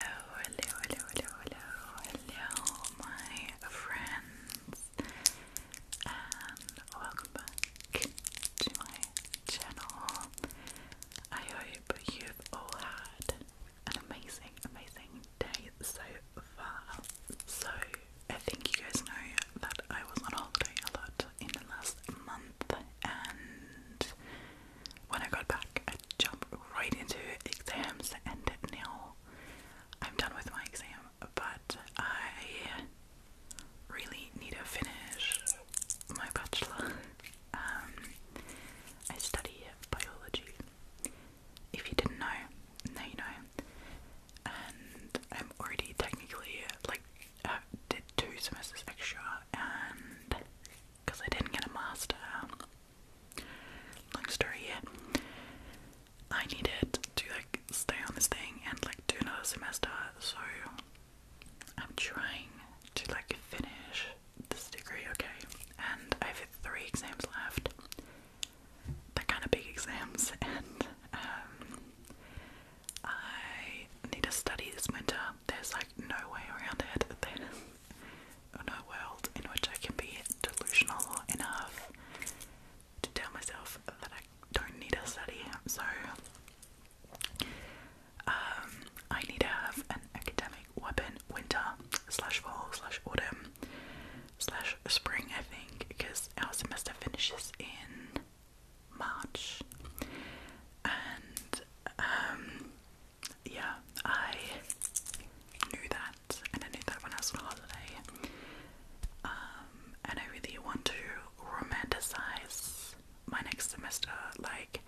Hello, hello, hello, hello, hello, my friends, and welcome back to my channel. I hope you've all had an amazing, amazing day so far. So, I think you guys know that I was on holiday a lot in the last month, and when I got back, I jumped right into exams, and now I'm done with my exam, but I really need to finish my bachelor. Um, I study biology. If you didn't know, now you know. And I'm already technically like uh, did two semesters extra, and because I didn't get a master, long story I needed to like stay on this thing and like do another semester so I'm trying to like finish this degree okay and I have three exams left they're kind of big exams and um I need to study this winter there's like no way around it a world in which I can be delusional enough to tell myself that I don't need a study. So um, I need to have an academic weapon winter slash fall slash autumn slash spring, I think, because our semester finishes in March. And um, yeah, I knew that, and I knew that when I was on holiday. Um, and I really want to romanticize my next semester. Like,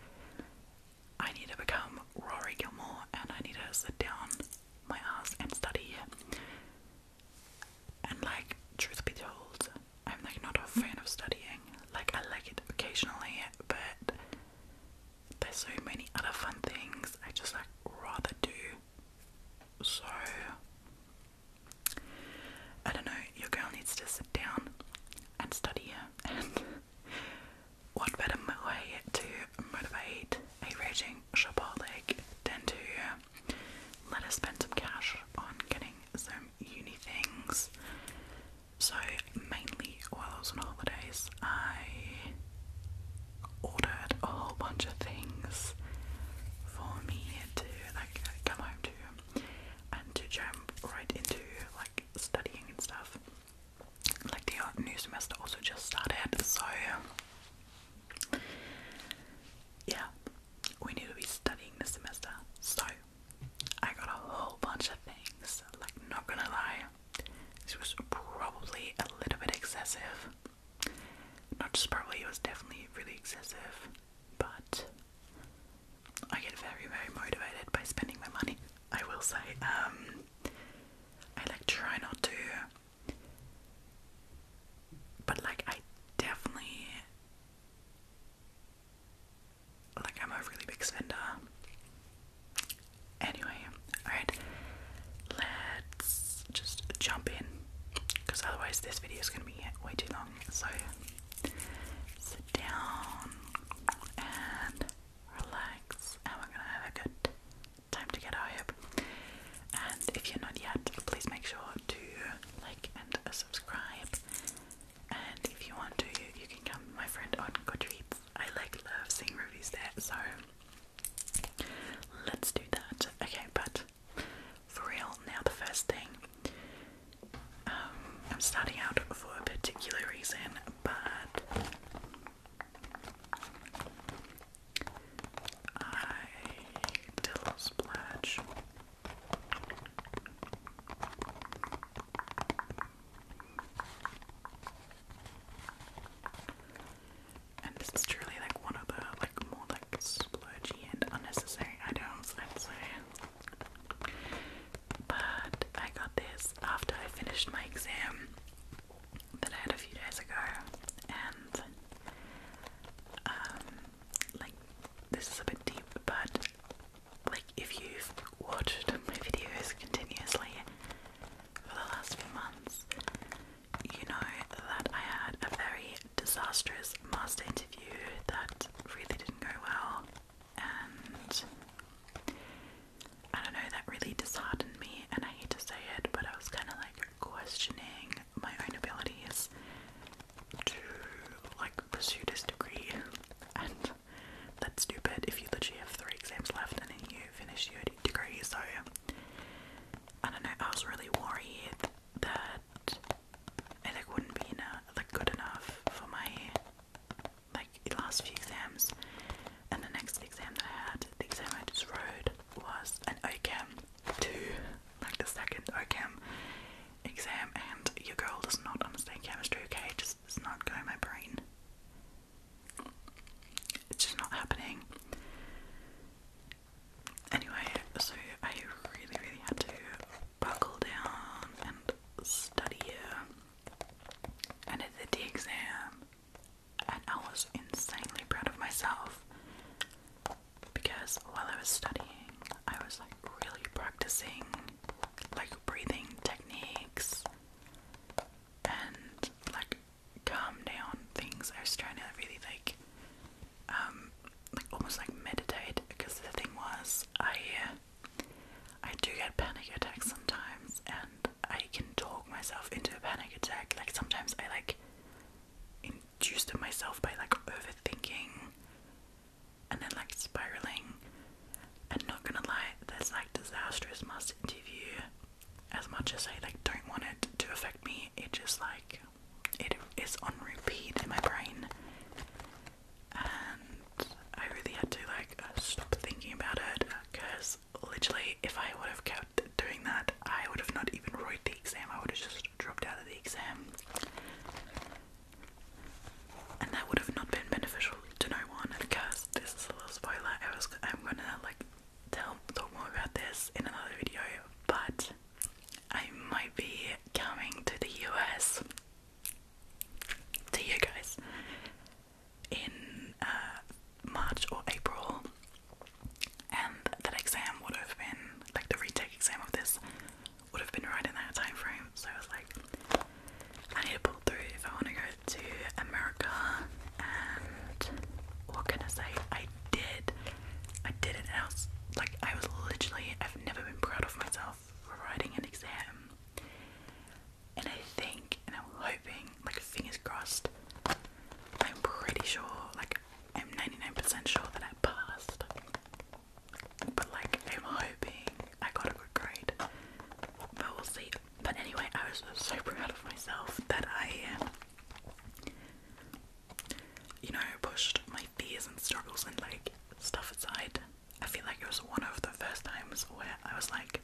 I need to become Rory Gilmore, and I need to sit down my ass and study. And like, truth be told, I'm like not a fan of studying. Like, I like it occasionally, but there's so many other fun things I just like rather do. So I don't know, your girl needs to sit down and study and what better way to motivate a raging shopaholic than to let her spend some cash on getting some uni things so, mainly while I was on holidays, I ordered a whole bunch of things for me to like come home to and to jump right into like studying and stuff. Like the new semester also just started, so yeah, we need to be studying this semester. So I got a whole bunch of things. Like not gonna lie, this was probably a little bit excessive. Not just probably, it was definitely really excessive, but I get very, very motivated by spending my money. I will say, um, I like try not to, but like, I definitely like I'm a really big spender Anyway, alright, let's just jump in because otherwise this video is going to be way too long. So sit down and relax, and we're going to have a good time together, And if you're not yet, please make sure to like and subscribe. And if you want to, you can come, my friend, on Goodreads I like love seeing reviews there, so let's do that. Okay, but for real, now the first thing. Um, I'm starting out for a particular reason, but I dill splash. And this is truly like one of the like more like splurgy and unnecessary items, I'd say. But I got this after I finished my exam that I had a few days ago, and um, like this is a bit deep, but. Like if you've watched my videos continuously for the last few months, you know that I had a very disastrous master interview that really didn't go well, and I don't know, that really disheartened me. And I hate to say it, but I was kind of like questioning my own abilities to like pursue this degree and that's stupid if you literally have three exams left and then you finish your degree. So, I don't know, I was really worried that it wouldn't be enough, like, good enough for my like last few exams. And the next exam I had, the exam I just wrote, was an OChem 2, like the second OChem exam. And your girl does not understand chemistry, okay? Just it's not going my brain it's just not happening. Anyway, so I really, really had to buckle down and study And I did the exam, and I was insanely proud of myself because while I was studying, I was like really practicing like breathing techniques and like calm down things. I was trying to really like, um, like almost like meditate because the thing was, I uh, I do get panic attacks sometimes, and I can talk myself into a panic attack. Like sometimes I like induced in myself by like overthinking and then like spiraling and not gonna lie, there's like disastrous must interview. As much as I like don't want it to affect me, it just like it is on repeat in my brain. And I really had to like uh, stop thinking about it because literally, if I would have kept doing that, I would have not even wrote the exam. I would have just dropped out of the exam, and that would have not been beneficial special to one because this is a little spoiler. I was I'm gonna like tell talk more about this in another video, but I might be coming to the US to you guys in uh, March or April, and that exam would have been like the retake exam of this would have been right in that time frame. So I was like, I need to pull through if I want to go to America. And what can I say? I did. I did it. And I was like, I was literally. I've never been proud of myself for writing an exam. And I think, and I'm hoping, like fingers crossed. I'm pretty sure, like I'm 99% sure that I passed. But like I'm hoping I got a good grade. But we'll see. But anyway, I was so proud of myself that I, um, you know, pushed my fears and struggles and like stuff aside. I feel like it was one of the first times where I was like,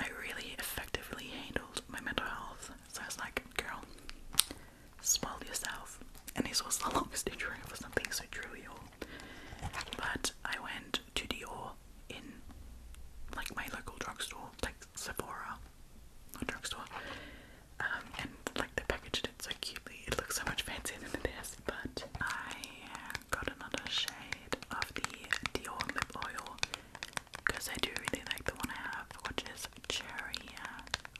I really effectively handled my mental health. So I was like, girl, smile yourself. And this was the longest intro for something so trivial. But I went to the Dior in like my local drugstore, like Sephora or drugstore. Um, and like they packaged it so cutely, it looks so much fancier than this. But I got another shade of the Dior lip oil because I do really like the one I have, which is cherry.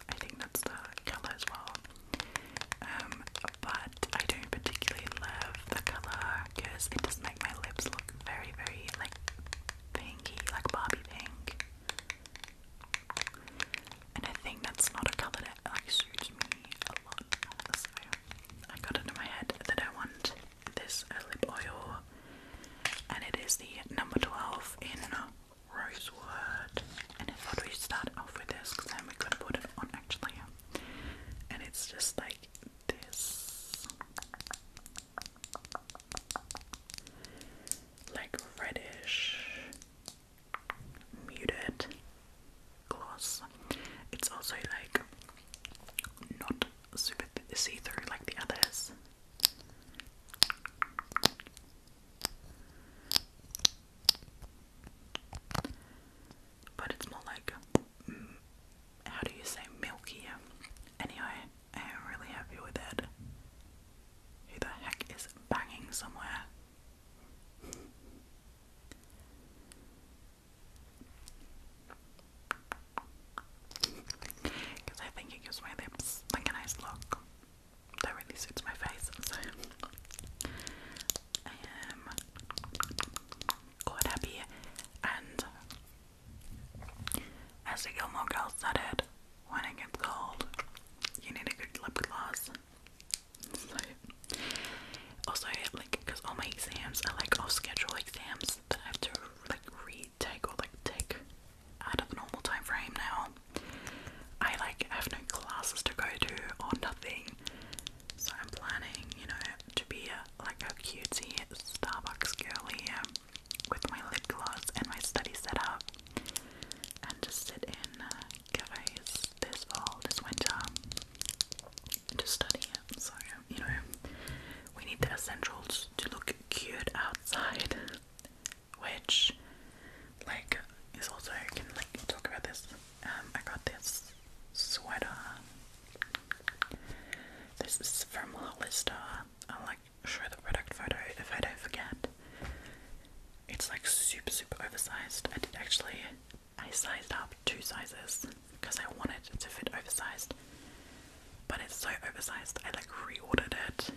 I think that's the colour as well. Um, but I don't particularly love the colour because it does make my lips look very, very like pinky, like Barbie pink. And I think that's not a colour that like suits me a lot. So I got it my head that I want this lip oil, and it is the number twelve in rosewood. And I thought we start off with this because then we could put it on actually. And it's just like this like reddish muted gloss. It's also like not super see through like the others. But it's more like how do you say milkier? Anyway, I am really happy with it. Who the heck is banging somewhere? Because I think it gives my lips like a nice look. That really suits my face, so quite happy. And as the Gilmore Girls said, when it gets cold, you need a good lip gloss. So, also, like, because all my exams I like all scheduled exams that I have to like retake or like take out of the normal time frame now. I like have no classes to go to or nothing, so I'm planning, you know, to be like a cutesy Starbucks girl here with my lip gloss and my study setup and just sit in uh, cafes this fall, this winter and just study it. So, you know, we need the essentials to look cute outside, which, like, is also, I can, like, talk about this. Um, I got this sweater this is from Hollister. I'll like show the product photo if I don't forget. It's like super, super oversized. I did actually, I sized up two sizes because I wanted to fit oversized. But it's so oversized, I like reordered it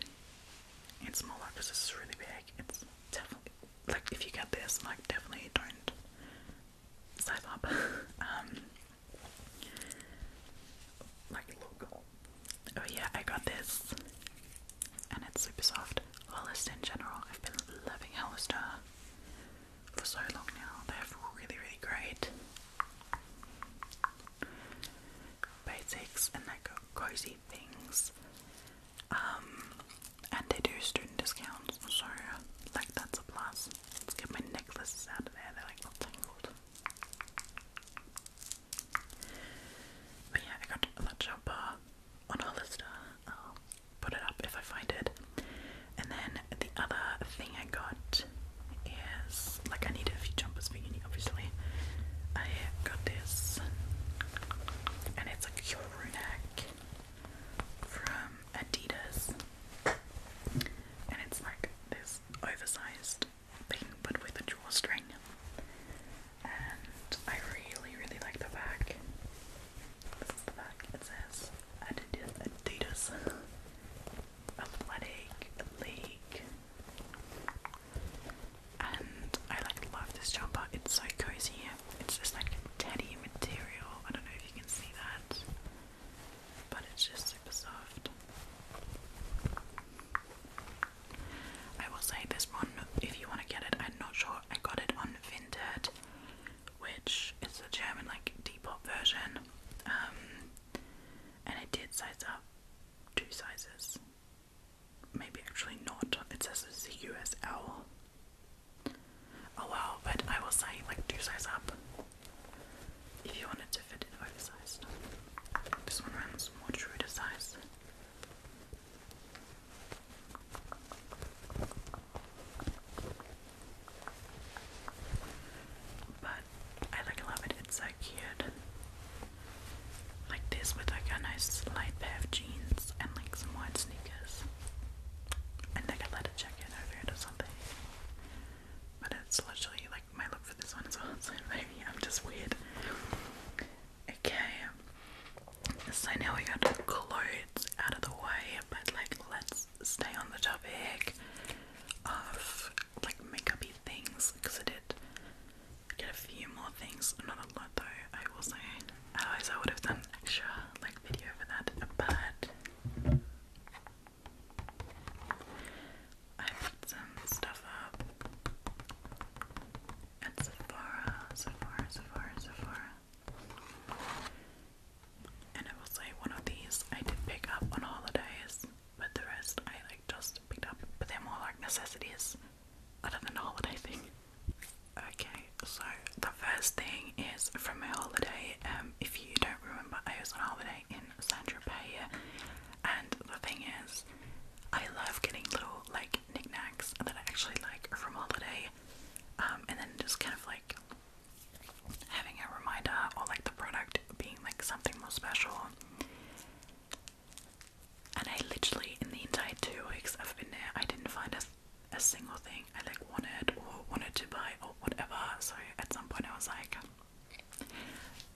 in smaller because it's really big. It's definitely, like, if you get this, like, definitely don't save up. Um, like, look. Oh, yeah, I got this. And it's super soft. Hollister in general, I've been loving Hollister for so long now. They are really, really great basics and like cozy things. Um, and they do student discounts, so like that's a plus. Let's get my necklaces out of there, they're like all tangled. But yeah, I got a lunch on Hollister. I'll put it up if I find it. And then the other thing I got is like I needed a few jumpers for obviously. I got this, and it's a like from Adidas. And it's like this oversized thing but with a drawstring. And I really, really like the back. This is the back. It says Adidas Athletic League. And I like love this jumper. It's so cozy. It's just like teddy material. I don't know if you can see that but it's just super soft. I will say this one, if you want to get it, I'm not sure. I got it on Vinted, which is the German like Depop version, um, and it did size up two sizes. Maybe actually not. It says it's a USL. Oh wow, but I will say like two size up if you wanted to fit in oversized. This one runs more true size. But I like love it, it's so cute. Like this with like a nice light pair of jeans and like some white sneakers. And a leather jacket or something. But it's literally like my look for this one as well. So maybe I'm just weird. Okay. So now we got clothes out of the way, but like let's stay on the topic of like makeupy things because I did get a few more things. Not a lot though, I will Otherwise I would have done extra like video for that. But I put some stuff up at Sephora, Sephora, Sephora, Sephora. And I will say one of these I did pick up on holidays, but the rest I like just picked up. But they're more like necessities other than the holiday thing. Okay, so the first thing is from my holiday um, if you don't remember, I was on holiday in Saint Tropez, and the thing is, I love getting little like knickknacks that I actually like from holiday, um, and then just kind of like having a reminder or like the product being like something more special. And I literally, in the entire two weeks I've been there, I didn't find a, a single thing I like wanted or wanted to buy or whatever. Sorry at some point I was like,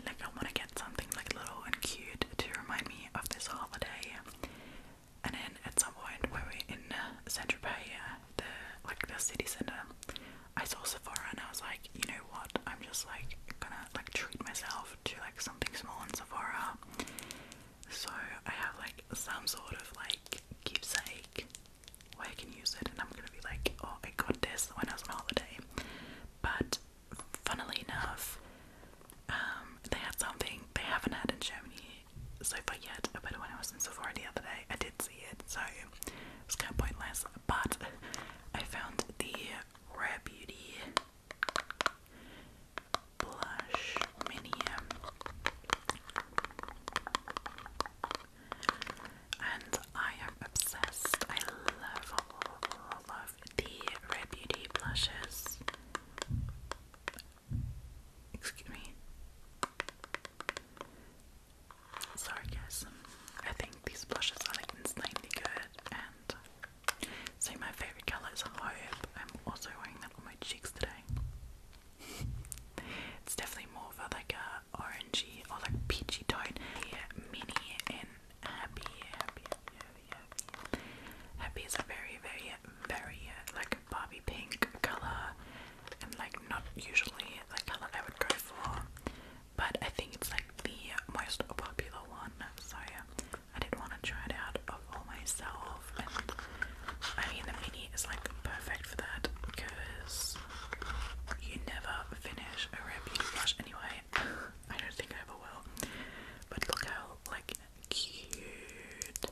like I want to get something like little and cute to remind me of this holiday. And then at some point when we are in uh, Central uh, the like the city center, I saw Sephora and I was like, you know what? I'm just like gonna like treat myself to like something small in Sephora. So I have like some sort of like keepsake where I can use it, and I'm gonna be like, oh, I got this when I was on holiday. But funnily enough, um, they had something they haven't had in Germany so far yet. But when I was in Sephora the other day, I did see it, so it's kind of pointless. But I found the Rare Beauty blush mini. Um, and I am obsessed. I love, love, love the Rare Beauty blushes. Excuse me. Sorry, guys. I think these blushes are insanely good. And so, my favorite color is Hope. I'm also wearing that on my cheeks today it's definitely more of a, like a orangey or like peachy tone. Yeah, mini and happy, happy, is a very, very, very uh, like Barbie pink color, and like not usually like color I would go for, but I think it's like the most popular one. So yeah, I did want to try it out of all myself, I mean the mini is like perfect for that because you never finish a red blush anyway. I don't think I ever will. But look how like cute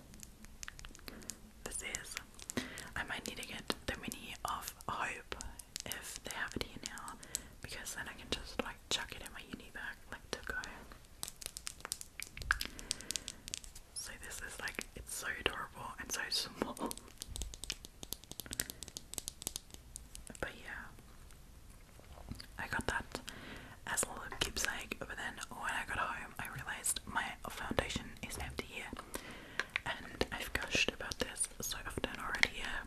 this is. I might need to get the mini of Hope if they have it here now, because then I can just like chuck it in my uni bag, like to go. So this is like it's so adorable and so small. But yeah, I got that as a little keepsake. But then when I got home, I realized my foundation is empty here, and I've gushed about this so often already. Yeah.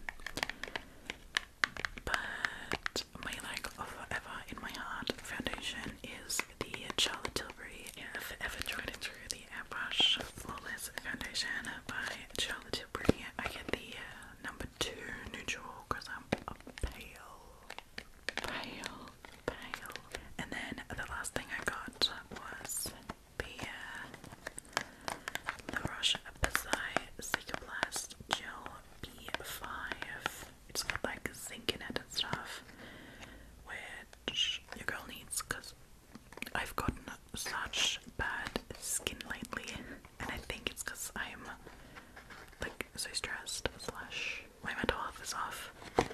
But my like forever in my heart foundation is the Charlotte Tilbury yeah, Forever Tried the Airbrush Flawless Foundation by Charlotte Tilbury. I get the uh, number two neutral because I'm pale, pale, pale. And then the last thing I got was the uh, the Rush Beside Psychoblast Gel B5. It's got like zinc in it and stuff, which your girl needs because I've gotten such bad skin lately, and I think it's because I'm like so stressed slash my mental health is off, and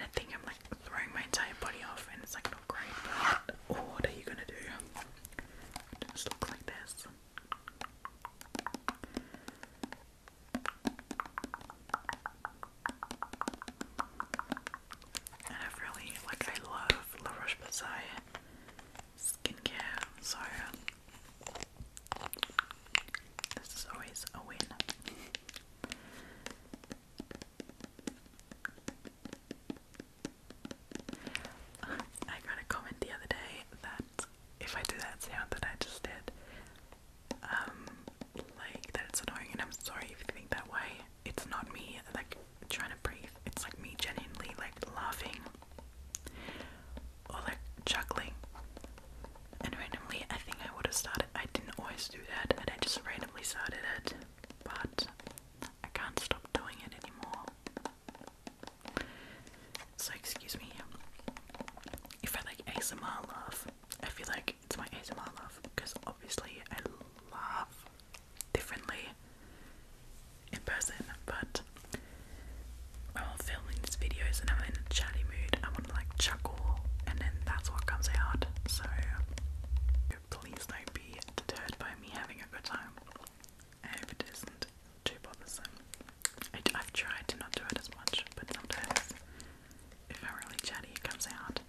I think I'm like throwing my entire body off, and it's like not great. But what are you gonna do? just looks like this. I've really, like, I love La Roche Posay skincare, so this is always a win. I got a comment the other day that if I do that sound that I just did, um, like that, it's annoying and I'm sorry if you think that way. It's not me like trying to breathe. It's like me genuinely like laughing or like chuckling. And randomly I think I would have started I didn't always do that and I just randomly started it. But I can't stop doing it anymore. So excuse me. If I like ASMR laugh, I feel like it's my ASMR laugh because obviously I laugh differently in person, but i while filming these videos and I'm in a chatty mood, I want to like chuckle, and then that's what comes out. So please don't be deterred by me having a good time. I hope it isn't too bother. I, I've tried to not do it as much, but sometimes if I'm really chatty, it comes out.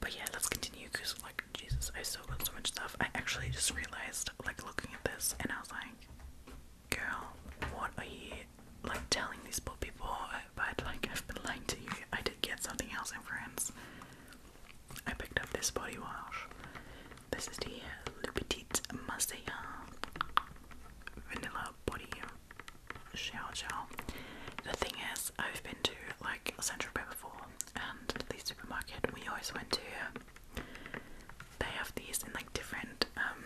But yeah, let's continue because, like, Jesus, I still got so much stuff. I actually just realized, like, looking at this, and I was like, girl, what are you, like, telling these poor people? But, like, I've been lying to you. I did get something else in France. I picked up this body wash. This is the Le Petit Marseillan Vanilla Body Xiao Xiao. The thing is, I've been to like Central Bay before, and the supermarket we always went to, they have these in like different um,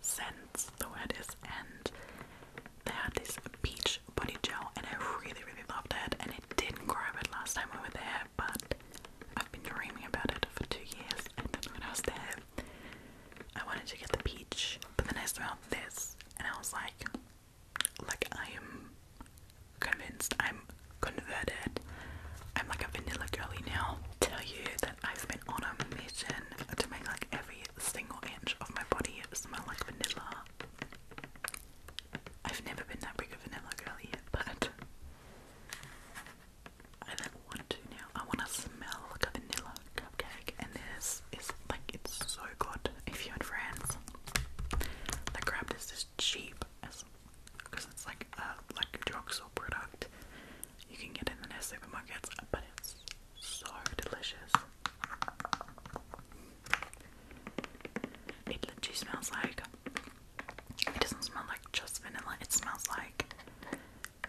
scents. The word is and they had this peach body gel, and I really really loved it. And it didn't grab it last time we were there, but I've been dreaming about it for two years, and then when I was there. I wanted to get the peach, but then I smelled this and I was like, like I am convinced, I'm converted. I'm like a vanilla girly now. Tell you that I've been on a mission to make like every single inch of my body smell like vanilla. I've never been that big of a vanilla girly yet, but I do want to now. I want to smell like a vanilla cupcake, and this is like it's so good. If you had friends, the crab is cheap as because it's like a like a drugstore product. You can get it in their supermarkets, but it's so delicious. It literally smells like. It doesn't smell like just vanilla. It smells like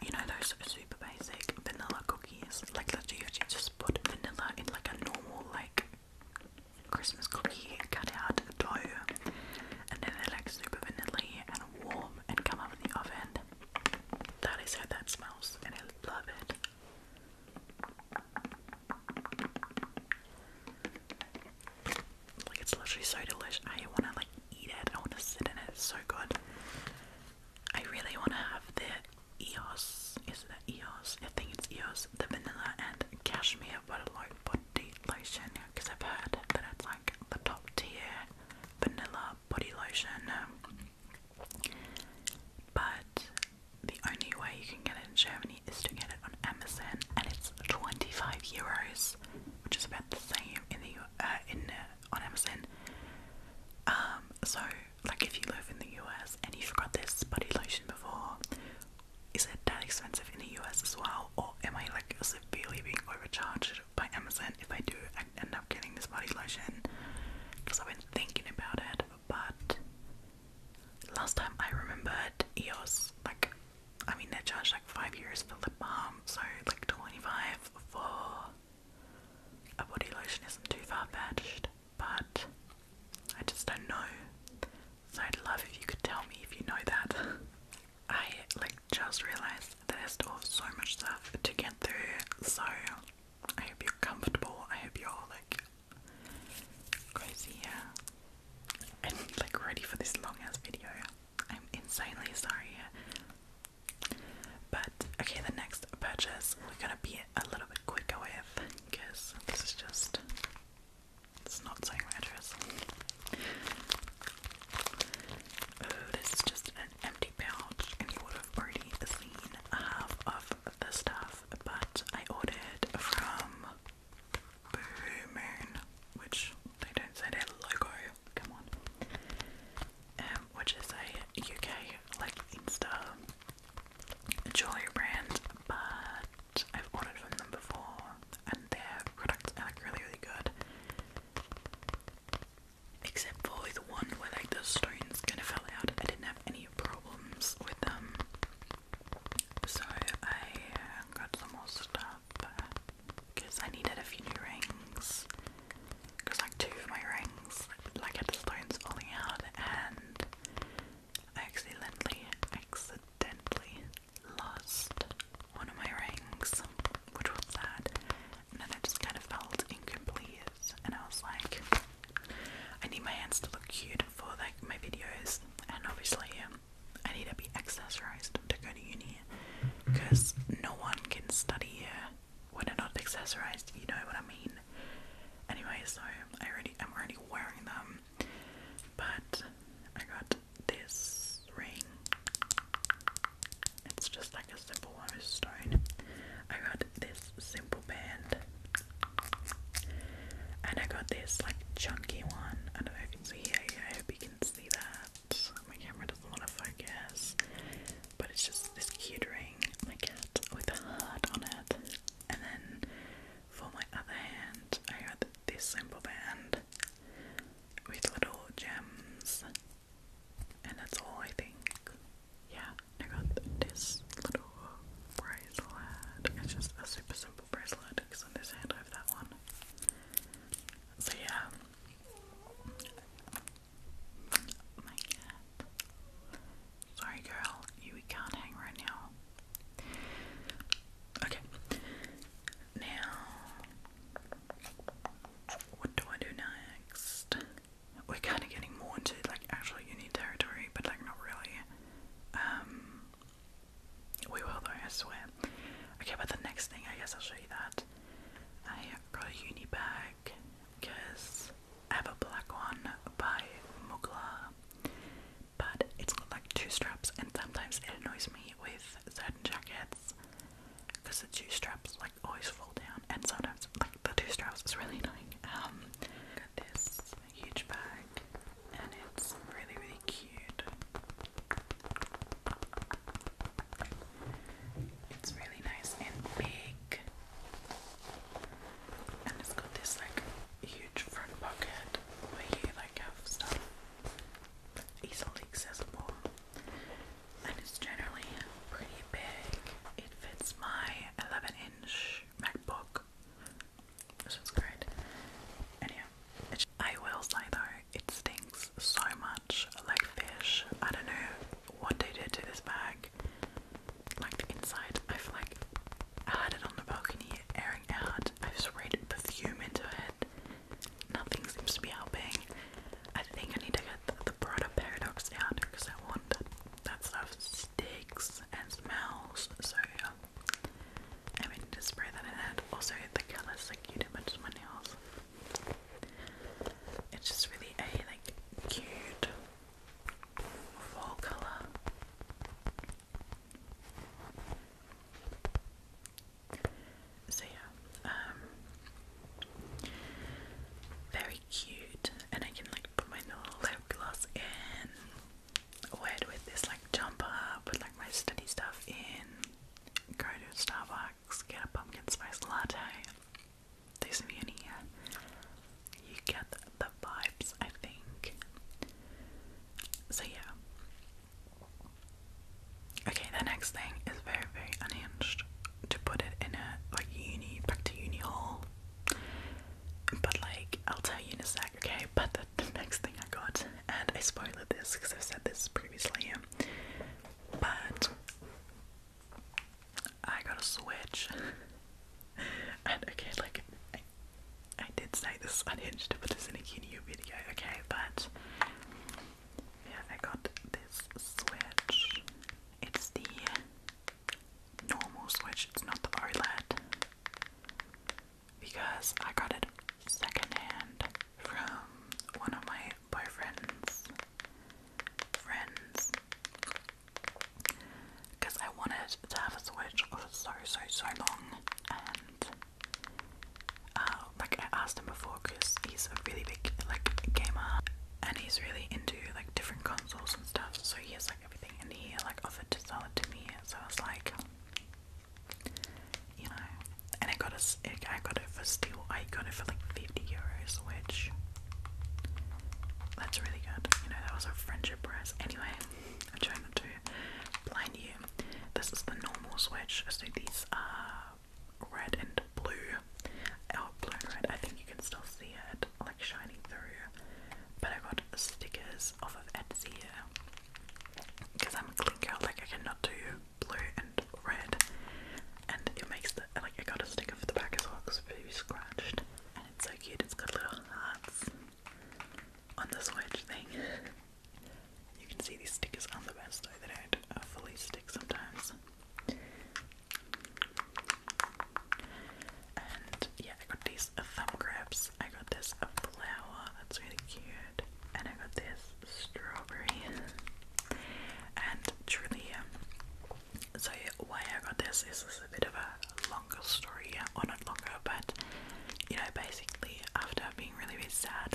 you know those super basic vanilla cookies. Like literally, you just put vanilla in like a normal like Christmas cookie cut out dough, and then they're like super vanilla and warm and come out in the oven. That is how that smells, and I love it. Like it's literally so delicious. I wanna like eat it. I wanna sit in it. so good. I really want to have the EOS. Is it EOS? I think it's EOS, the vanilla and cashmere body lotion because I've heard that it's like the top tier vanilla body lotion. But the only way you can get it in Germany is to get it on Amazon, and it's 25 euros, which is about the same in the uh, in uh, on Amazon. Um, so like if you live in the US and you've this body lotion before, is it that expensive in the US as well, or am I like severely being overcharged by Amazon if I do end up getting this body lotion? Because I've been thinking about it, but last time I remembered EOS like I mean they charged like five euros for lip balm, so like twenty five for a body lotion isn't too far fetched, but I just don't know. So I'd love if you could tell me if you know that. I like just realised that I still have so much stuff to get through, so I hope you're comfortable. I hope you're all like crazy yeah. and like ready for this long ass video. I'm insanely sorry but okay, the next purchase we're gonna be a little bit quicker with because this is just it's not so mattress. Oh, this is just an empty pouch, and you would have already seen half of the stuff, but I ordered from Blue Moon, which they don't say their logo, come on. Um, which is a UK like Insta jewelry brand, but I've ordered from them before, and their products are like really, really good. Except for the one where like the stones kind of fell out, I didn't have any problems with them. So I uh, got some more stuff because uh, I needed a few new rings because like two of my rings, like had stones falling out, and I accidentally, accidentally lost one of my rings, which was sad. And then I just kind of felt incomplete, and I was like, I need my hands to look cute for like my videos, and obviously. Um, I need to be accessorized to go to uni because no one can study here when they're not accessorized, you know what I mean. Anyway, so I already I'm already wearing them. But I got this ring. It's just like a simple stone. I got this simple band. And I got this like chunky one. I don't know if you can see I hope you can see that. My camera doesn't want to focus, but it's just this cute ring, my cat, with a heart on it. And then for my other hand, I got this simple band with little gems, and that's all I think. Yeah, I got this little bracelet. It's just a super simple bracelet because on this hand I have that one. So yeah, Sorry, girl, you can't hang right now. Okay. Now, what do I do next? We're kind of getting more into like actual uni territory, but like not really. Um, we will though, I swear. Okay, but the next thing, I guess I'll show you that. I brought a uni bag because I have a black one by Mugler, but it's got like two straps, and sometimes it annoys me with certain jackets because the two straps like always fall down, and sometimes like the two straps is really annoying. Um, got this huge bag, and it's really really cute. It's really nice and big. And it's got this like huge front pocket where you like have stuff easily accessible. And it's generally pretty big. It fits my 11 inch MacBook. So it's great. And I will say though, it stinks so much like fish. I don't know what they did to this bag. Like the inside, I feel like I had it on the balcony airing out. i sprayed perfume into it. Nothing seems to be helping. I think I need to get the broader paradox down because I want that, stuff sticks and smells. So yeah. I mean to spray that in it. Also the colours like you did much my nails. It's just really a like cute fall colour. So yeah, um, very cute and I can like put my little lip gloss in wear it with this like jumper, put like my study stuff in, go to Starbucks bucks, get a pumpkin spice latte. There's me in here. You get the vibes, I think. So, yeah. Okay, the next thing is very, very unhinged to put it in a like uni, back to uni hall. But, like, I'll tell you in a sec, okay? But the, next thing I got, and I spoiled this because I've said this previously, but I got a Switch. and okay, like, I, did say this on Hinge to put this a QNU video, okay, but yeah, I got this Switch. It's the normal Switch, it's not the OLED. Because I got it secondhand from one of my boyfriends friends. Because I wanted to have a Switch for so, so, so long. And, uh, like, I asked him before because he's a really big, like, gamer. And he's really into, like, different consoles and stuff. So he has, like, everything. And he, like, offered to sell it to me. So I was like, you know. And it got us, I got it for steel. I got it for like 50 euros, which that's really good. You know, that was a friendship price. Anyway, I'm trying not to blind you. This is the normal switch, so these are red and blue. Oh, blue and red, I think you can still see it like shining through. But I got stickers off of Etsy because I'm a clean girl, like I cannot do blue and red, and it makes the like I got a sticker for the back as well because it's very scratched, and it's so cute. It's got little hearts on the switch thing. you can see these stickers on the best though; they don't uh, fully stick sometimes. And yeah, I got these uh, thumb grabs. I got this a flower that's really cute, and I got this strawberry. And truly. So why I got this is this is a bit of a longer story, or not longer, but you know, basically after being really really sad,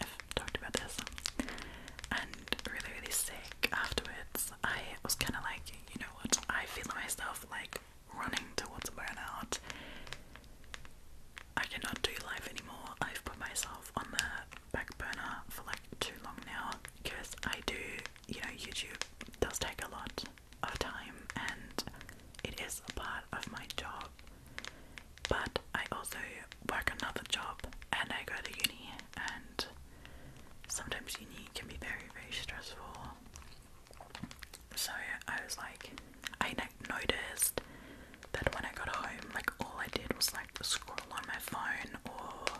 I've talked about this, and really really sick afterwards, I was kind of like, you know what, I feel myself like running towards burnout. I cannot do life anymore. I've put myself on the back for like too long now because I do, you know, YouTube does take a lot of time and it is a part of my job. But I also work another job and I go to uni and sometimes uni can be very, very stressful. So I was like, I noticed that when I got home, like all I did was like like scroll on my phone or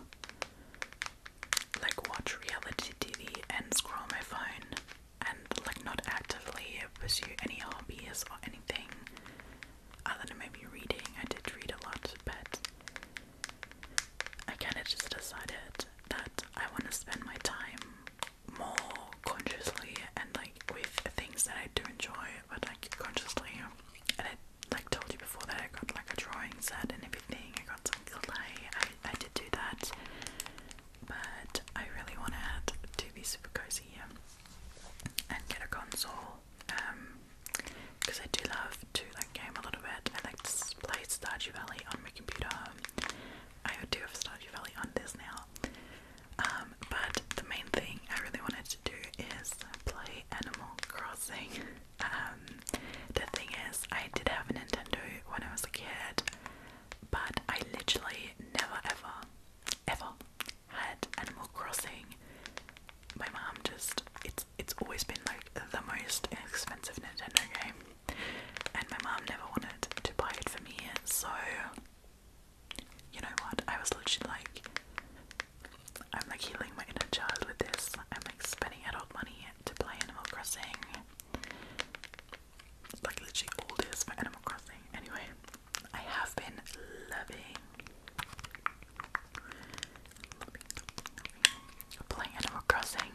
like watch reality TV and scroll my phone and like not actively pursue any hobbies or anything other than maybe reading. I did read a lot, but I kind of just decided that I want to spend my time more consciously and like with things that I do enjoy, but like consciously. And it like told you before that I got like a drawing set and everything. I got some clay. I, I did do that, but I really want to add be super cozy um, and get a console. Um, because I do love to like game a little bit. I like to play Stardew Valley on my computer. I do have Stardew Valley on this now. Um, but the main thing I really want to do is play Animal Crossing. Um, the thing is, I did have a Nintendo when I was a kid, but I literally never ever, ever had Animal Crossing. My mom just, it's, it's always been like the most expensive Nintendo game, and my mom never wanted to buy it for me, so you know what? I was literally like, I'm like healing my inner child with this. I'm like spending adult money to play Animal Crossing. Like literally all for Animal Crossing. Anyway, I have been loving, playing Animal Crossing.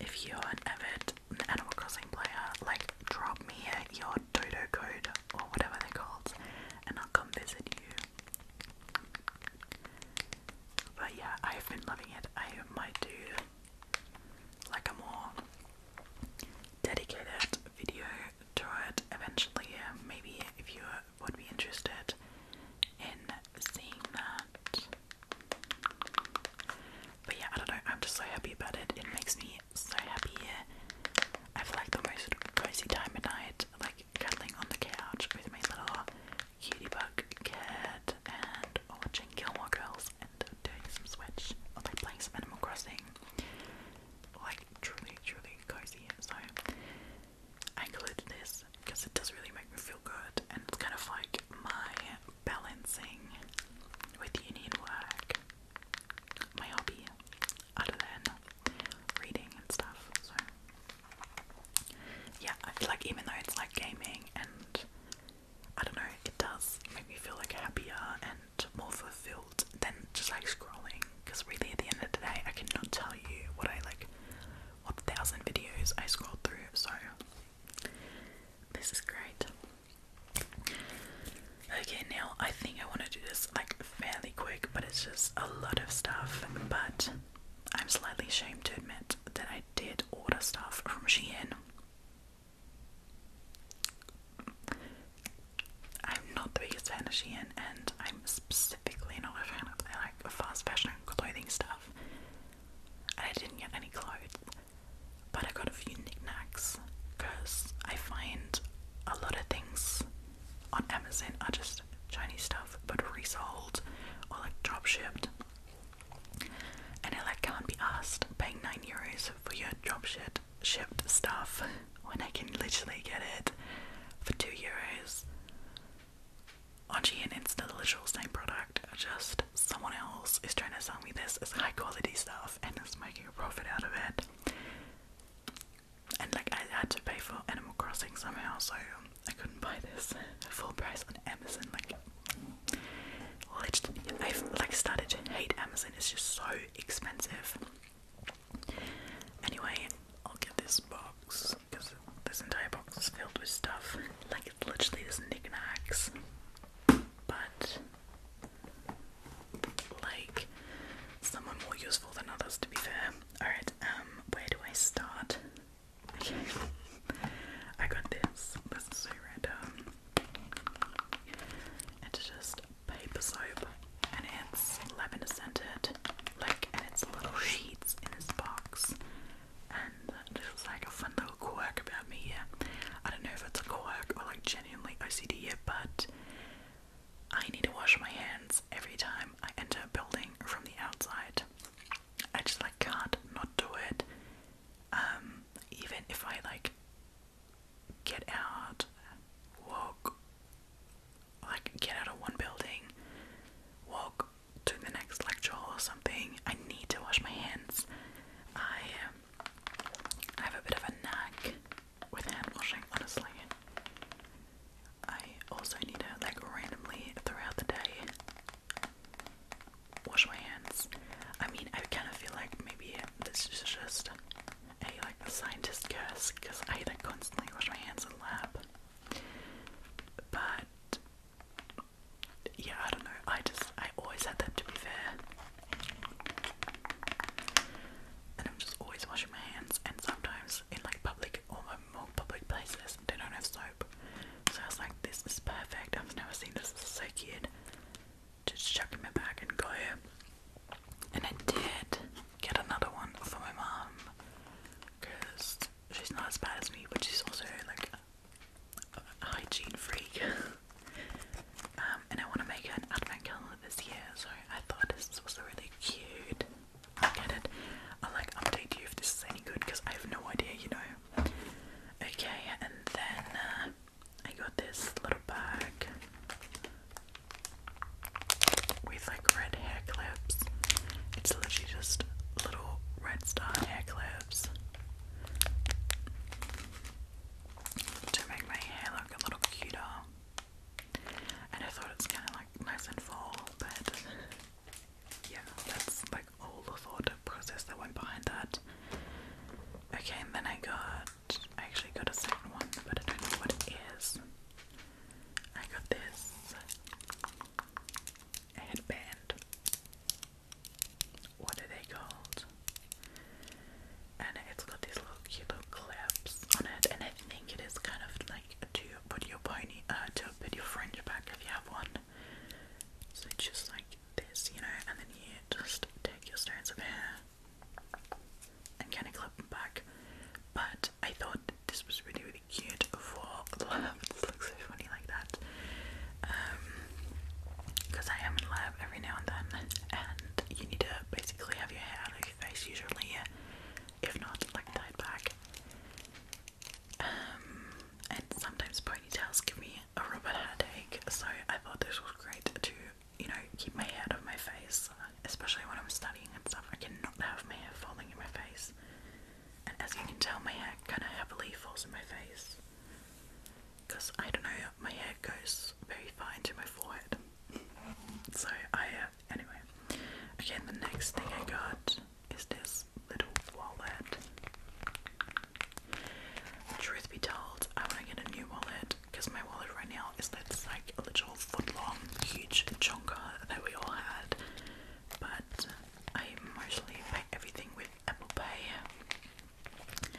If you're an avid Animal Crossing player, like drop me your Dodo code or whatever they're called, and I'll come visit you. But yeah, I've been loving it. I might do like a more dedicated video to it eventually. Maybe if you would be interested in seeing that. But yeah, I don't know. I'm just so happy about it. It makes me so happy. I have like the most cozy time at night. Like cuddling on the couch with my little cutie bug cat and watching Gilmore Girls and doing some Switch or like playing some Animal Crossing. Like truly, truly cozy. So I included this because it does really make me feel good and it's kind of like my balancing with uni and work, my hobby, other than reading and stuff. So yeah, I feel like even though it's like gaming and I don't know, it does make me feel like happier and more fulfilled than just like scrolling. Because really, at the end of the day, I cannot tell you what I like, what thousand videos I scrolled through. So this is great. Okay, now I think I want to do this like fairly quick, but it's just a lot of stuff. But I'm slightly ashamed to admit that I did order stuff from Shein. I'm not the biggest fan of Shein, and I'm specifically not a fan of like fast fashion clothing stuff. I didn't get any clothes, but I got a few knickknacks because I find a lot of things on Amazon are just Chinese stuff but resold or like drop shipped. And I like can't be asked paying nine euros for your drop ship shipped stuff when I can literally get it for two euros. On Shein it's the literal same product, just someone else is trying to sell me this as high quality stuff and is making a profit out of it and like I had to pay for Animal Crossing somehow, so I couldn't buy this full price on Amazon. Like, literally, I've like started to hate Amazon. It's just so expensive. Anyway, I'll get this box because this entire box is filled with stuff. Like, it's literally just knickknacks, but like some are more useful than others. To be fair. Alright, um, where do I start? Okay. I got this. This so random. It's just paper soap and it's lavender scented. Like and it's little sheets in this box. And this is like a fun little quirk about me Yeah. I don't know if it's a quirk or like genuinely OCD, but I need to wash my hands every time I enter a building from the outside. I just like can't not do it. Um, even if I like get out, walk, like get out of one building, walk to the next lecture or something. I need to wash my hands. I um, have a bit of a knack with hand washing, honestly. I also need to like randomly throughout the day wash my hands. I mean, I kind of feel like maybe this is just a like scientist curse because I either constantly wash my hands in lab, but yeah, I don't know. I just I always had them to be fair, and I'm just always washing my hands, and sometimes because in like public, or um, more public places, they don't have soap. So I was like, this is perfect. I've never seen this. is so cute. Just chuck in my bag and go. And I did get another one for my mom, because she's not as bad as me, but she's also like a, hygiene freak. Um, and I want to make an advent calendar this year, so I thought this was really cute. Get it? i like update you if this is any good because I have no idea, you know. Okay, and then uh, I got this little bag with like red hair clips. It's literally just little red star hair clips to make my hair look a little cuter. And I thought it's kind of like nice and full, but yeah, that's like all the thought process that went behind that. Okay, and then I got, I actually got a second one, but I don't know what it is. I got this headband. What are they called? And it's got these little cute clips on it, and I think it is kind of like a two put your pony uh, to put your fringe back if you have one. So just like this, you know, and then you just take your strands of hair and kind of clip them back. But I thought this was really, really cute for lab. This looks so funny like that. Because um, I am in lab every now and then, and you need to basically have your hair out of your face usually if not like tied back. Um, and sometimes ponytails give me a rubber headache, so I thought this was great to, you know, keep my hair off my face, especially when I'm studying and stuff. I cannot have my hair falling in my face, and as you can tell, my hair kind of heavily falls in my face because I don't know, my hair goes very far into my forehead. So I uh, anyway. Again, the next thing I got is this little wallet. Truth be told, I want to get a new wallet because my wallet right now is that's like little foot huge chonker that we all had. But I mostly pay everything with Apple Pay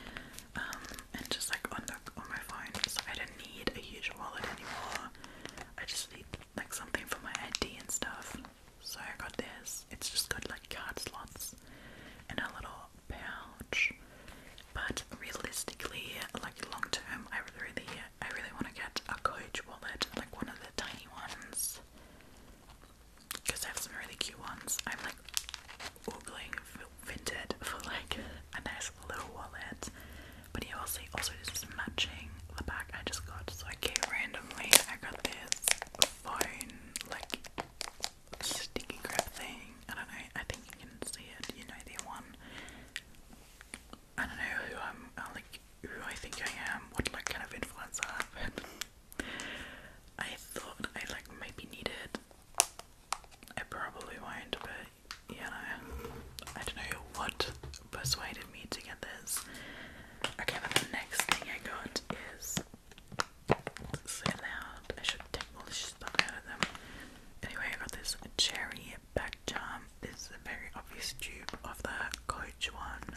um, and just like on, my phone, so I don't need a huge wallet anymore. I just like something for my ID and stuff. So I got this. It's just got like card slots and a little pouch. But realistically, like long term, I really, I really want to get a Coach wallet, like one of the tiny ones, because I have some really cute ones. I'm like googling vinted for like a nice little wallet but he also, also does this matching the bag I just got. So I okay, randomly I got this phone like sticky grip thing. I don't know, I think you can see it, you know the one. I don't know who I'm uh, like who I think I am, what kind of influencer but I thought I like maybe needed I probably won't, but you I don't know what persuaded me to get this. Okay, but the next thing I got is so loud. I should take all this stuff out of them. Anyway, I got this cherry back charm. This is a very obvious dupe of the Coach one,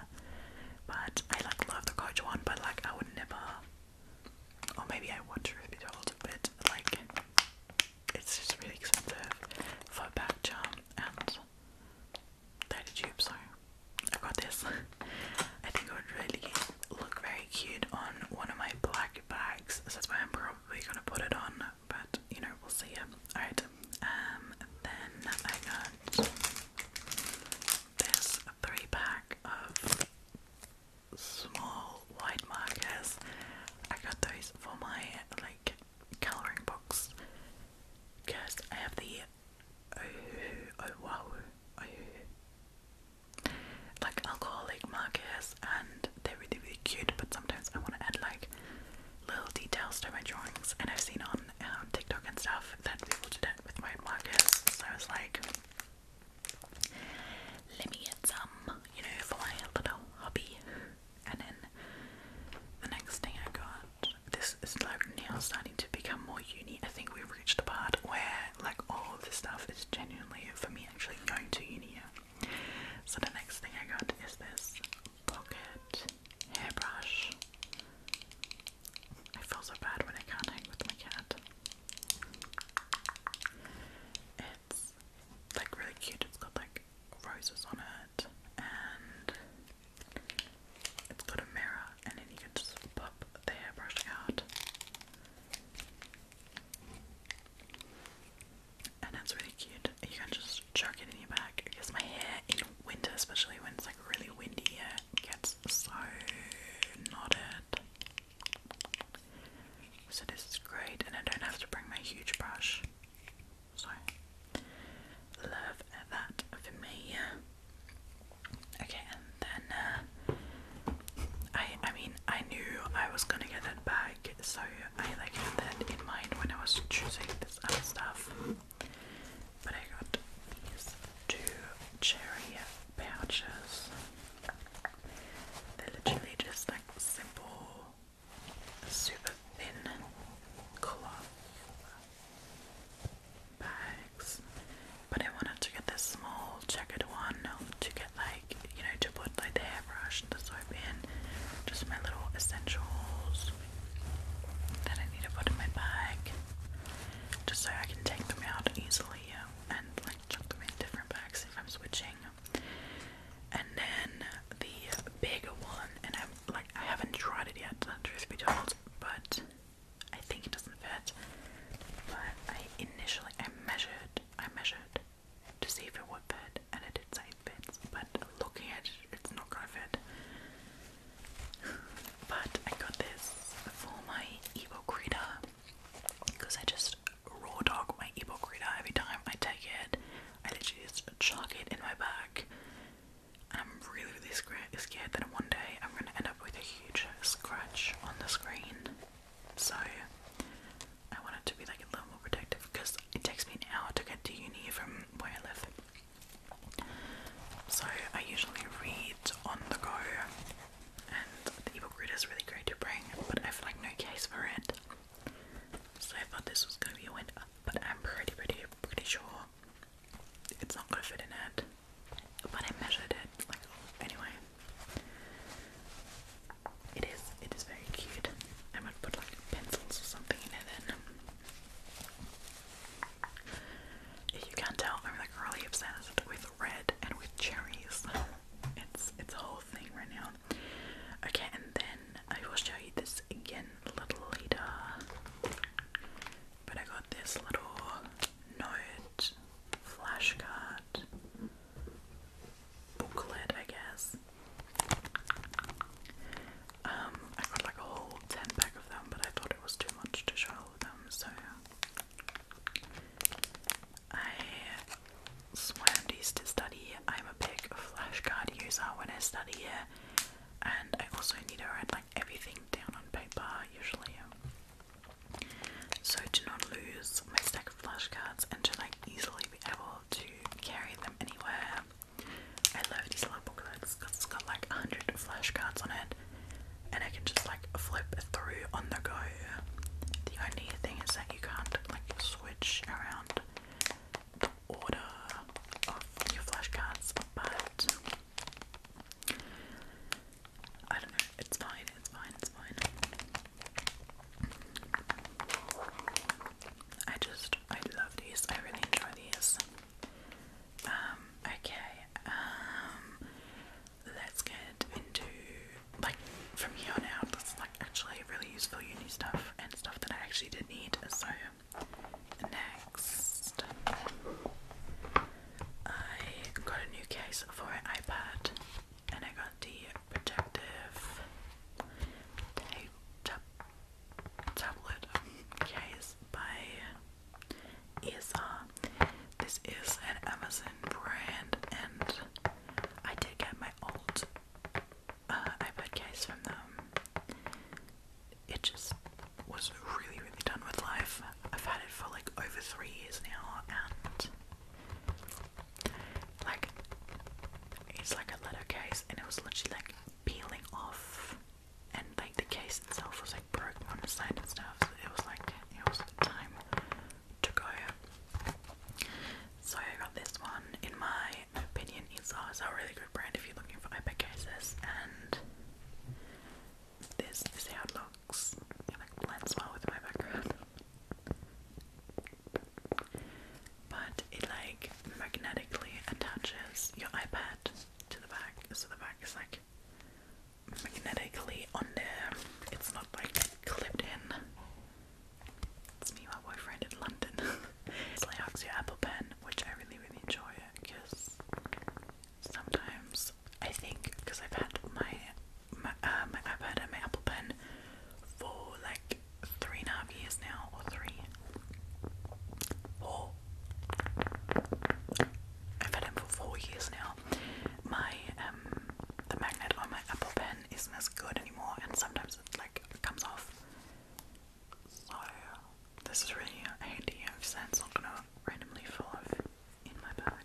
but I like love the Coach one. But like, I would never, or maybe I would truth be told, but like, it's just really expensive for a back charm and 30 tubes, so I got this. I think it would really look very cute on one of my black bags, This is why I'm probably gonna put it on, but you know, we'll see. Alright, um, then I got this three pack of small white markers. I got those for my like colouring books because I have the Oahu, Oahu, Oahu, like alcoholic markers and they're really, really cute but sometimes I want to add like little details to my drawings and I've seen on um, TikTok and stuff that people do that with my own markers so I was like let me get some, you know, for my little hobby and then the next thing I got, this is like now starting to become more uni. I think we've reached a part where like all of this stuff is genuinely for me actually going to uni. So the next thing I got is this pocket hairbrush. I feel so bad when I can't hang with my cat. It's like really cute. It's got like roses on it, and it's got a mirror, and then you can just pop the hairbrush out, and that's really cute. You can just chuck it in your bag because my hair in winter, especially when it's like really windy, it gets so knotted. So this is great, and I don't have to bring my huge brush so love that for me. Okay, and then uh, I I mean I knew I was gonna get that bag, so I like had that in mind when I was choosing this other stuff. But I got these two cherry pouches. they literally just like simple super thin cloth bags, but I wanted to get this small checkered one to get like you know to put like the hairbrush, the soap in, just my little essentials that I need to put in my bag, just so I can take them out easily and like chuck them in different bags if I'm switching. And then the bigger one, and I'm like I haven't tried it yet, truth be told, but I think it doesn't fit. But I initially I measured, I measured to see if it would fit, and it did say it But looking at it, it's not gonna fit. But I got this for my ebook reader because I just raw dog my ebook reader every time I take it I literally just chuck it in my bag. And I'm really, really scared Scared that one day I'm going to end up with a huge scratch on the screen. So I wanted to be like a little more protective because it takes me an hour to get to uni from where I live. So I usually read on the go, and the ebook reader is really great to bring, but I have like no case for it. So I thought this was going to be a win but I'm pretty, pretty, pretty sure it's not gonna fit in it. But I measured it. Like anyway, it is. It is very cute. I might put like pencils or something in it. Then, if you can tell, I'm like really obsessed with red and with cherries. It's it's whole thing right now. Okay, and then I will show you this again a little later. But I got this little note, flashcard, booklet, I guess. Um, I got like a whole 10 pack of them, but I thought it was too much to show all of them, so I swam these to study I'm a big flashcard user when I study here, and I also need to write like everything down on paper usually. So to not lose my stack of flashcards and to like easily be able to carry them anywhere. I love these little booklets because it's got like 100 flashcards on it and I can just like flip through on the go. The only thing is that you can't like switch around order of your flashcards, but I don't know, it's fine, it's fine, it's fine. I just, I love these, I really enjoy these. Um, okay, um, let's get into, like, from here on out, actually really useful uni stuff and stuff that I actually did need. So next, I got a new case for an iPad, and I got the protective tape tablet case by ESR. This is an Amazon brand, and I did get my old uh, I've had from them. It just was really, really done with life. I've had it for like over three years now, and like it's like a letter case, and it was literally like peeling off, and like the case itself was like broken on the side and stuff. So it was like it was time to go. So I got this one. In my opinion, Isla is a really good brand if you're looking for iPad cases, and this is how it looks. It like blends well with my background. But it like magnetically attaches your iPad to the back, so the back is like magnetically on there. It's not like clipped in. It's me, my boyfriend in London. it's like Oxio Apple Pen, which I really, really enjoy because sometimes I think because I've had my my, uh, my iPad and my Apple Pen for like three and a half years now, or three, four. I've had them for four years now. My um, the magnet on my Apple Pen isn't as good anymore, and sometimes it like comes off. So this is really handy because so that's not gonna randomly fall off in my bag.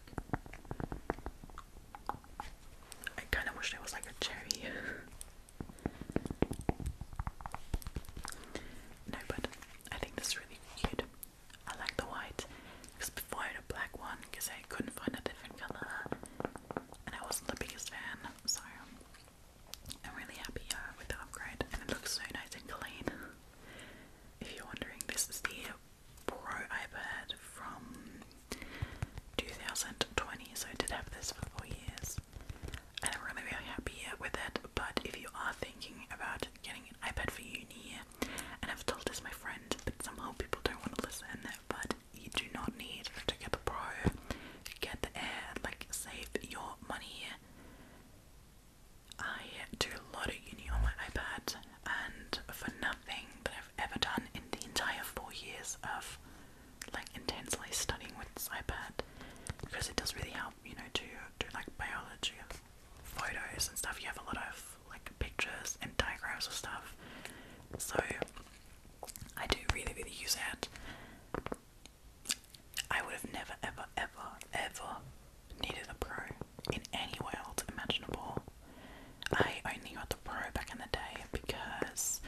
I kind of wish there was like a cherry. no, but I think this is really cute. I like the white because before I had a black one because I couldn't find a different color and I wasn't the biggest fan. So I'm really happy uh, with the upgrade and it looks so nice and clean. if you're wondering, this is the Pro iPad from 2020, so I did have this for four years. And I'm really, really happy uh, with it. But if you are thinking about getting an iPad for uni, and I've told this to my friend, but somehow people don't want to listen, to that. but you do not need to get the Pro. Get the Air, like, save your money. I do a lot of uni on my iPad, and for nothing that I've ever done in the entire four years of like intensely studying with iPad, because it does really help, you know, to do like biology photos and stuff. You have a lot of like pictures and diagrams and stuff, so I do really, really use that. I would have never, ever, ever, ever needed a pro in any world imaginable. I only got the pro back in the day because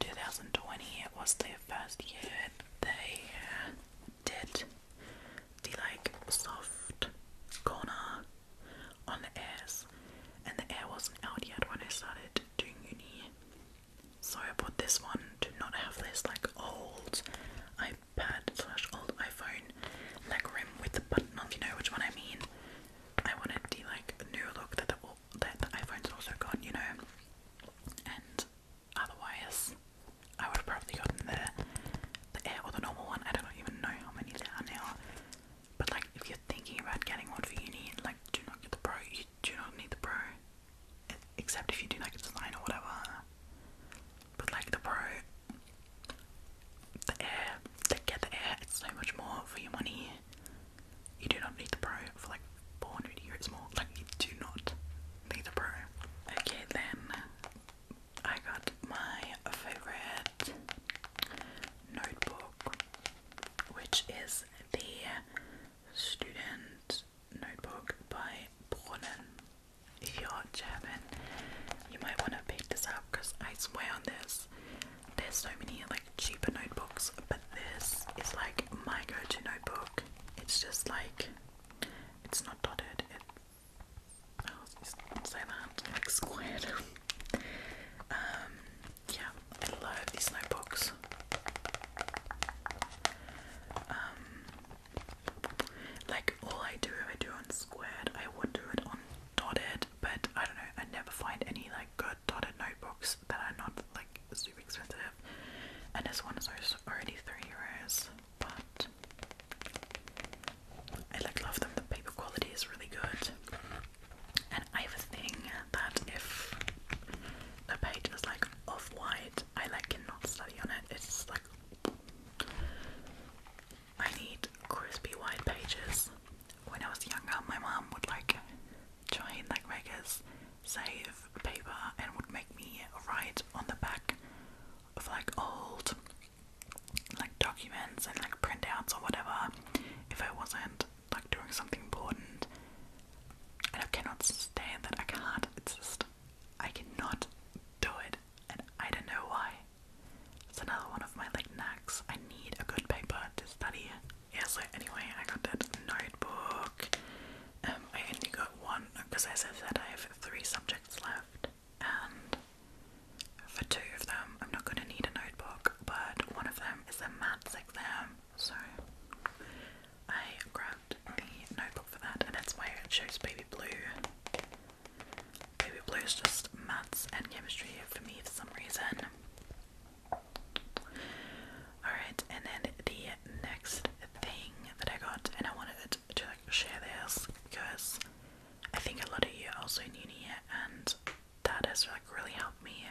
2020 It was the first year they did the like soft corner on the air, and the air wasn't out yet when I started doing uni. So I bought this one to not have this like old iPad slash old iPhone like rim with the button on, you know which one I mean. I wanted the like new look that the, that the iPhone's also got, you know. And otherwise, I would have probably gotten the the Air or the normal one. I don't even know how many there are now. But like, if you're thinking about getting one for uni, like, do not get the Pro do not need the Pro, except if you do like a design or whatever. But like the Pro, the Air, get the Air, so much more for your money. You do not need the Pro for like 400 euros more. Like you do not need the Pro. Okay, then I got my favorite notebook, which is the Student Notebook by Brunnen. If you're German, you might want to pick this up because I swear on this, there's so many like cheaper notebooks, but this is like my go-to notebook. It's just like it's not dotted. It, oh, say that like squared. um, yeah, I love these notebooks. Um, like all I do, I do on squared. I would do it on dotted, but I don't know. I never find any like good dotted notebooks that are not like super expensive. And this one is already three euros, but I like love them. The paper quality is really good. And I have a thing that if the page is like off white, I like cannot study on it. It's like I need crispy white pages. When I was younger, my mom would like join like make us save paper and would make me write on the back of like old like documents and like printouts or whatever if I wasn't like doing something important I cannot stand that. I can't. It's just I cannot do it, and I don't know why. It's another one of my like knacks. I need a good paper to study. Yeah. So anyway, I got that notebook. Um, I only got one because, I said, that I have three subjects left, and for two of them, I'm not going to need a notebook. But one of them is a maths exam. So I grabbed the notebook for that, and it's my chose baby blue. Baby blue is just maths and chemistry for me for some reason. Alright, and then the next thing that I got, and I wanted to share this because I think a lot of you are also in uni, and that has like really helped me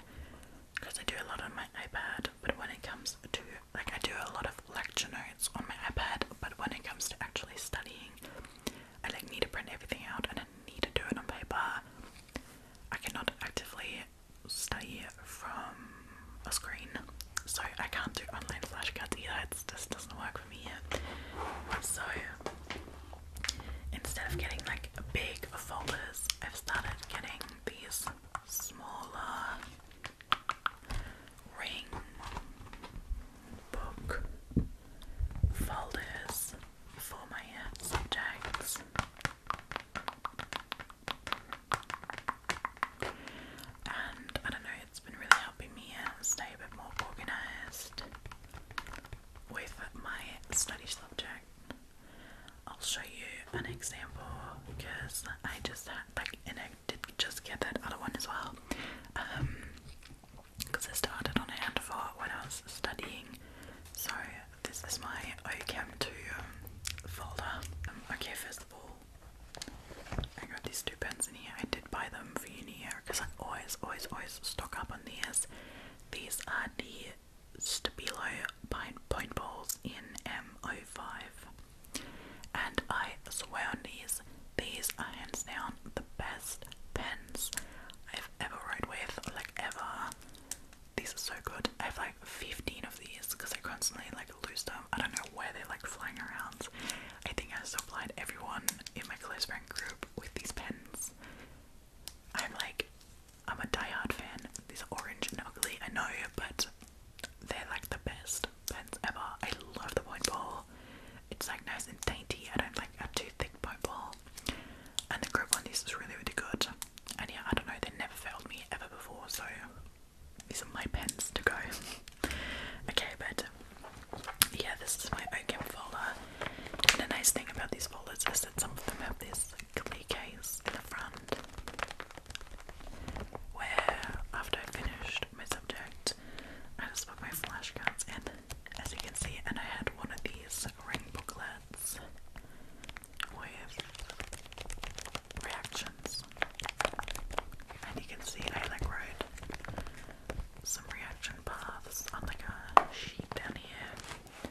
because I do a lot on my iPad but when it comes to like I do a lot of lecture notes on my iPad, but when it comes to actually studying, I like need to print everything out and I need to do it on paper. I cannot actively study from a screen, so I can't do online flashcards either. It just doesn't work for me yet. So instead of getting like big folders, I've started getting these smaller ring book folders for my subjects. And I don't know, it's been really helping me um, stay a bit more organised with my study subjects. I'll show you an example because I just had like and I did just get that other one as well. because um, I started on hand for when I was studying. So this is my OCAM 2 um, folder. Um, okay, first of all, I got these two pens in here. I did buy them for uni here because I always, always, always stock up on these. These are the Stabilo Point Balls in M05. And I swear on these, these are hands down the best pens I've ever rode with, like ever. These are so good. I have like 15 of these because I constantly like lose them. I don't know why they're like flying around. I think I have supplied everyone in my close friend group with these pens. I'm like I'm a die-hard fan. These are orange and ugly, I know, but they're like the best pens ever. I love the point ball. It's like nice and dainty. I don't like a too thick point ball. And the grip on this is really, really good. And yeah, I don't know, they never failed me ever before, so these are my pens to go. okay, but yeah, this is my Oakham folder. And the nice thing about these folders is that some of them have this case in the front, where after I finished my subject, I just put my flashcards in, as you can see, and I had one of these ring booklets with reactions, and you can see I like wrote some reaction paths on like a sheet down here,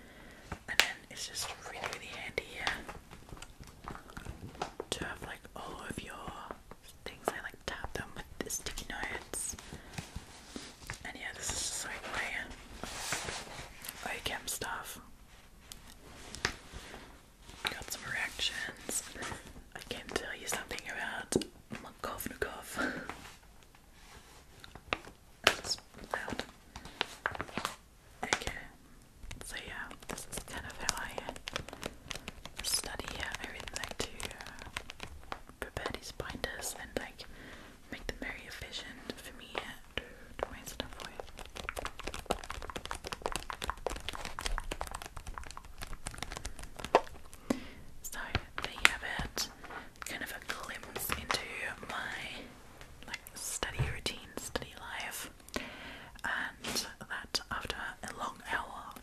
and then it's just really really handy here to have like all of your things. I like tap them with the sticky notes. And yeah, this is just like my uh, OChem stuff. Got some reactions. I can tell you something about Makovnikov. That's loud. Okay, so yeah, this is kind of how I study uh, I really like to uh, prepare these binders and like make them very efficient for me to, to my stuff with. So there you have it, kind of a glimpse into my study routine, study life, and that after a long hour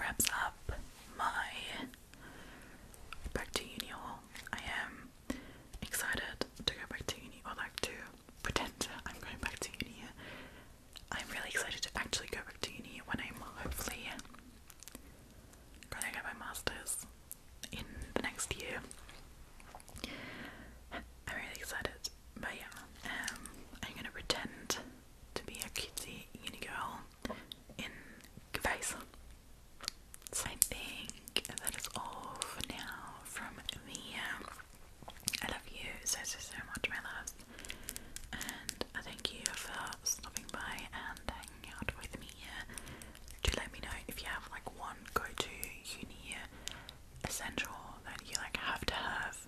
wraps up my back to uni haul. I am excited to go back to uni, or like to pretend I'm going back to uni. I'm really excited to actually go back to uni when I'm hopefully gonna get my masters in the next year. I'm really excited, but yeah, um, I'm gonna pretend to be a cutesy uni girl in Gvais. So I think that is all for now from me. Um, I love you so so so much, my loves, and thank you for stopping by and hanging out with me. To let me know if you have like one go to uni essential that you like have to have,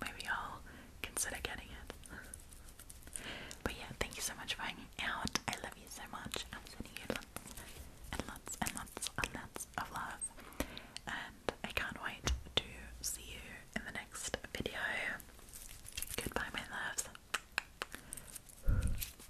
maybe I'll consider getting it. But yeah, thank you so much for hanging out. I love you so much. I'm sending you lots and lots and lots and lots of love. And I can't wait to see you in the next video. Goodbye, my loves.